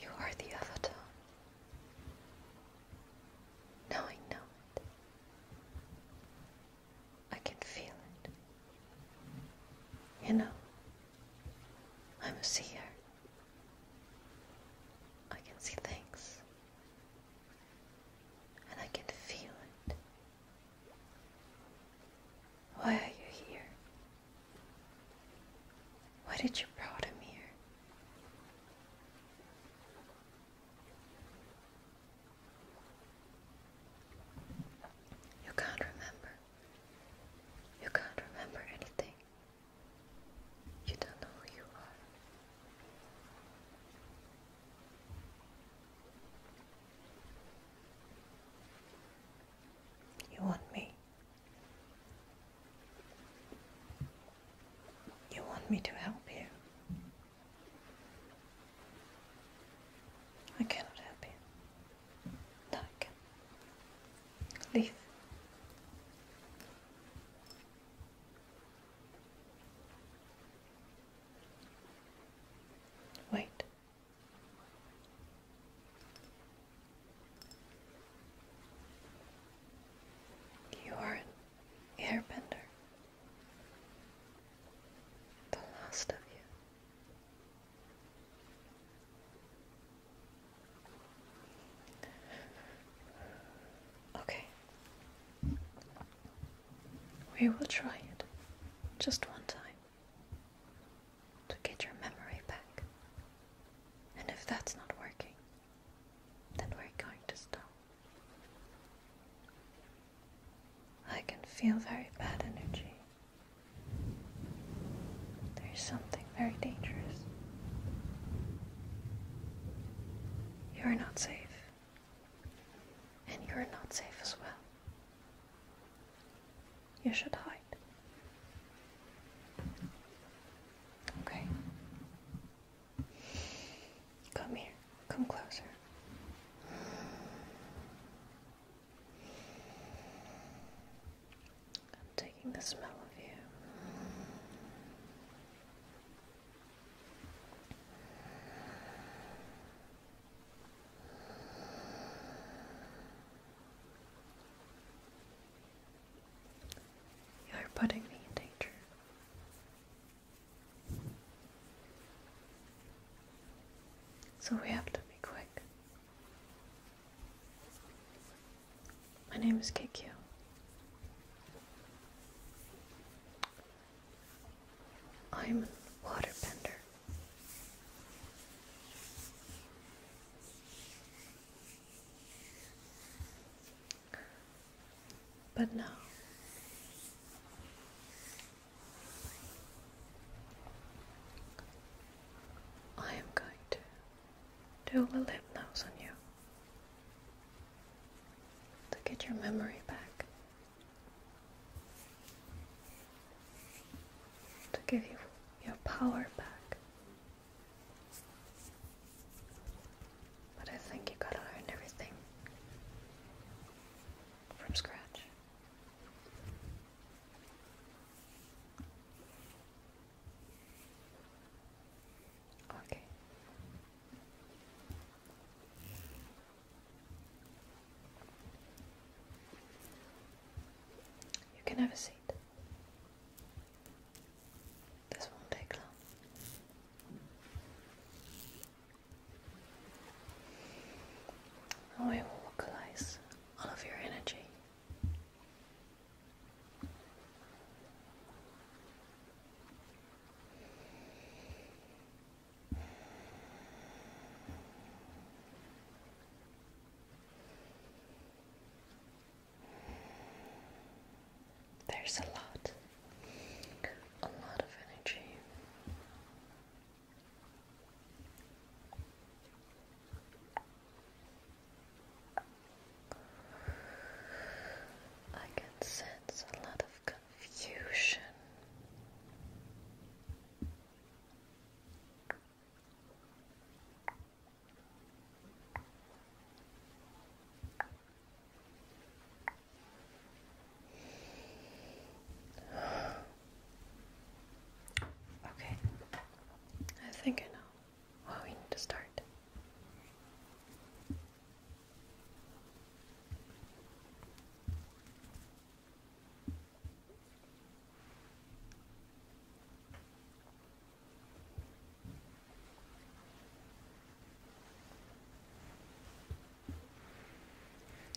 You are the avatar. Now I know it. I can feel it. You know, I'm a seer. I can see things. And I can feel it. Why are you here? Why did you bring him here? You can't remember. You can't remember anything. You don't know who you are. You want me. You want me to help you. I cannot help you. No, I can. Leave. Wait. You are an airbender. The last of you. Okay. We will try it just one time to get your memory back. And if that's not working, then we're going to stop. I can feel very bad energy. There is something very dangerous. You are not safe. And you are not safe as well. You should hide. Okay. Come here. Come closer. I'm taking the smell of you. You're putting me in danger. So we have to be quick. My name is Kikyo. I'm a waterbender. But no. I am going to do a lip nose on you to get your memory back, to give you your power back. But I think you gotta learn everything from scratch. Okay. You can have a seat. This won't take long. I will localize all of your energy. There's a lot, a lot of energy I can sense a lot of confusion. Okay. I think I know. Well, oh, we need to start.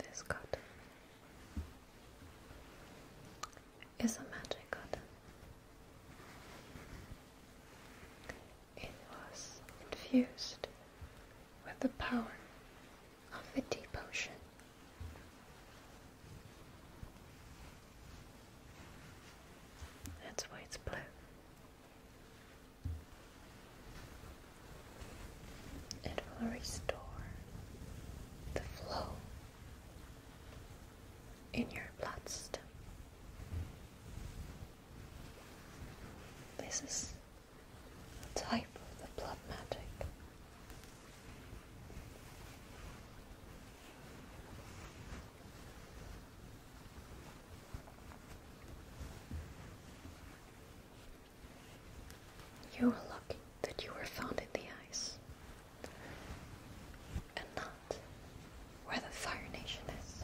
This cotton is a magic cotton. It was infused with the power of the deep ocean. That's why it's blue. It will restore the flow in your blood system. This is a type of the blood magic. You were lucky that you were found in the ice and not where the Fire Nation is.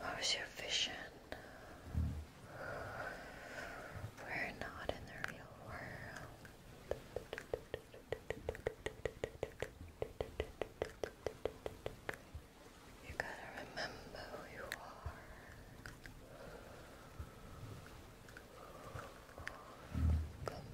How's your vision? We're not in the real world. You gotta remember who you are. Come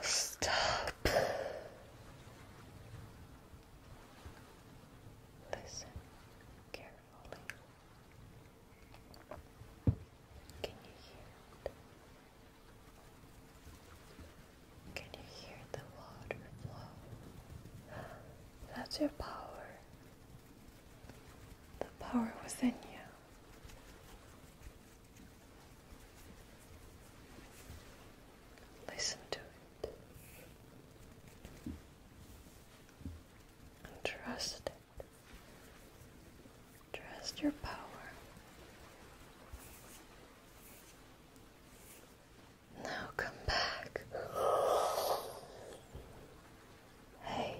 stop. Listen carefully. Can you hear it? Can you hear the water flow? That's your power. The power within you. Listen to it and trust it. Trust your power. Now come back. Hey.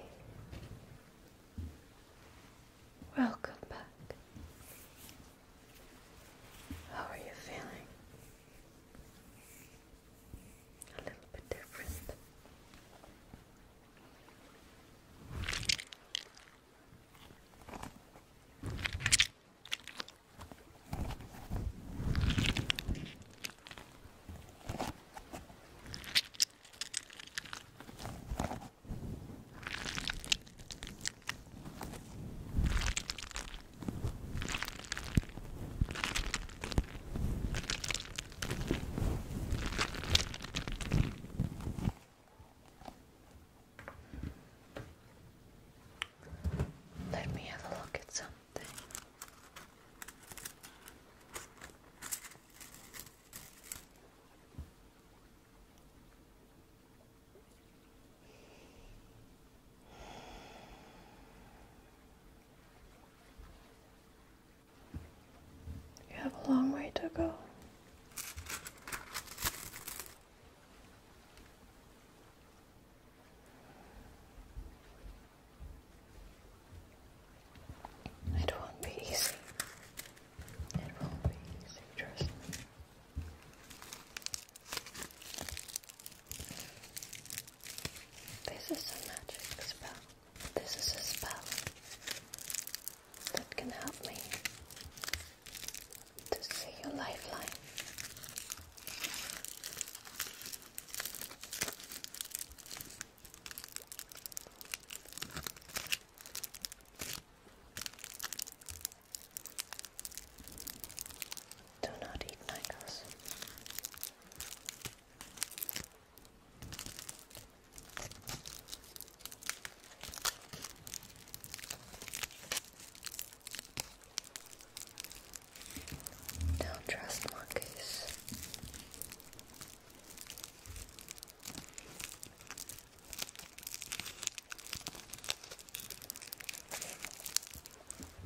Welcome back. How are you feeling? A little bit different. Let me have a look at some. You have a long way to go. It won't be easy. It will be easy, trust me. This is a magic spell. This is a spell that can help me to see your lifeline. Do not eat mangoes. Don't trust monkeys.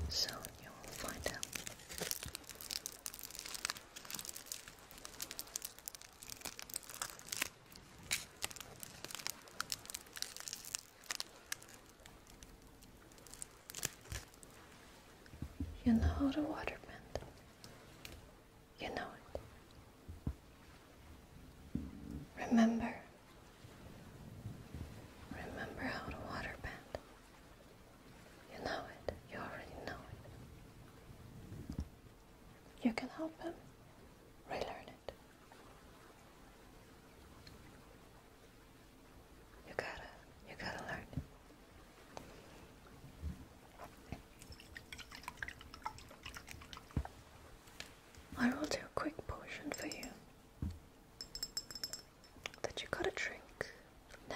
Soon you will find out. You know how to water bend. You know it. Remember. Remember how to water You know it. You already know it. You can help him relearn it. You gotta, you gotta learn. I will do a quick potion for you that you gotta drink now.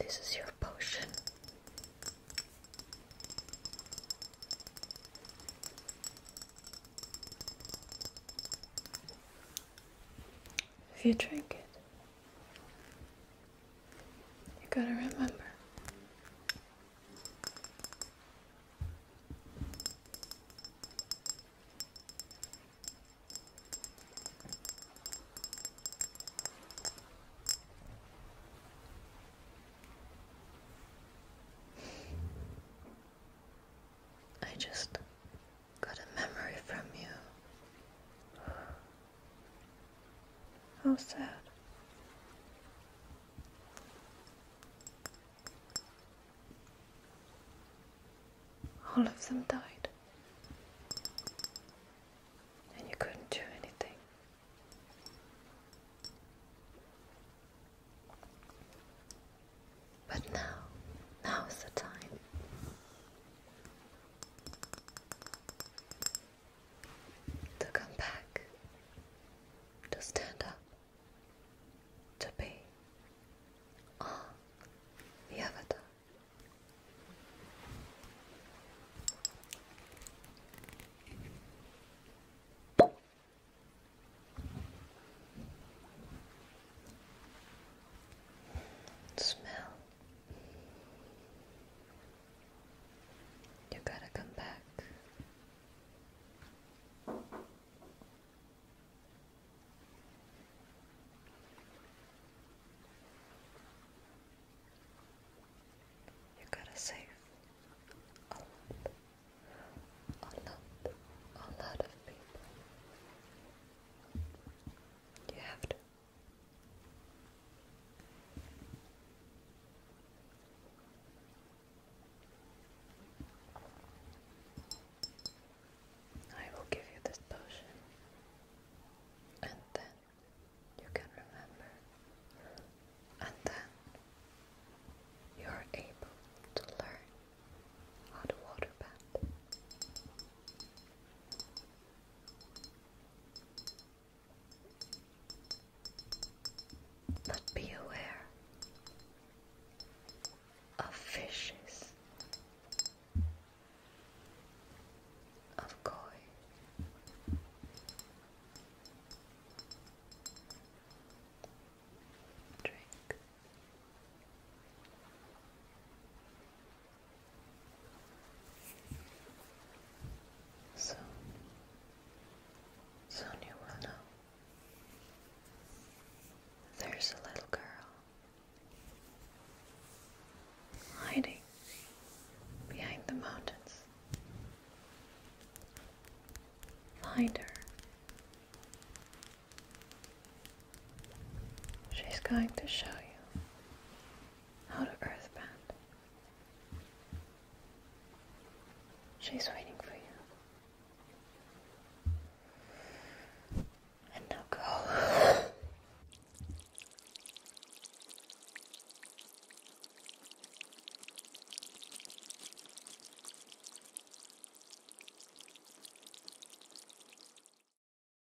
This is your potion. If you drink it, you gotta remember. I just got a memory from you. How sad. All of them died. And you couldn't do anything. But now, now is the time. To come back, to stand up, to be on the avatar. Smell you gotta come back. You gotta save a lot, a lot, a lot of people. You have to. I will give you this potion, and then you can remember, and then you are able to learn how to water but be aware of fishes, of koi. Drink. Soon, soon you will know. There's a little girl hiding behind the mountains. Find her. She's going to show you how to earthbound. She's waiting for you. And now go.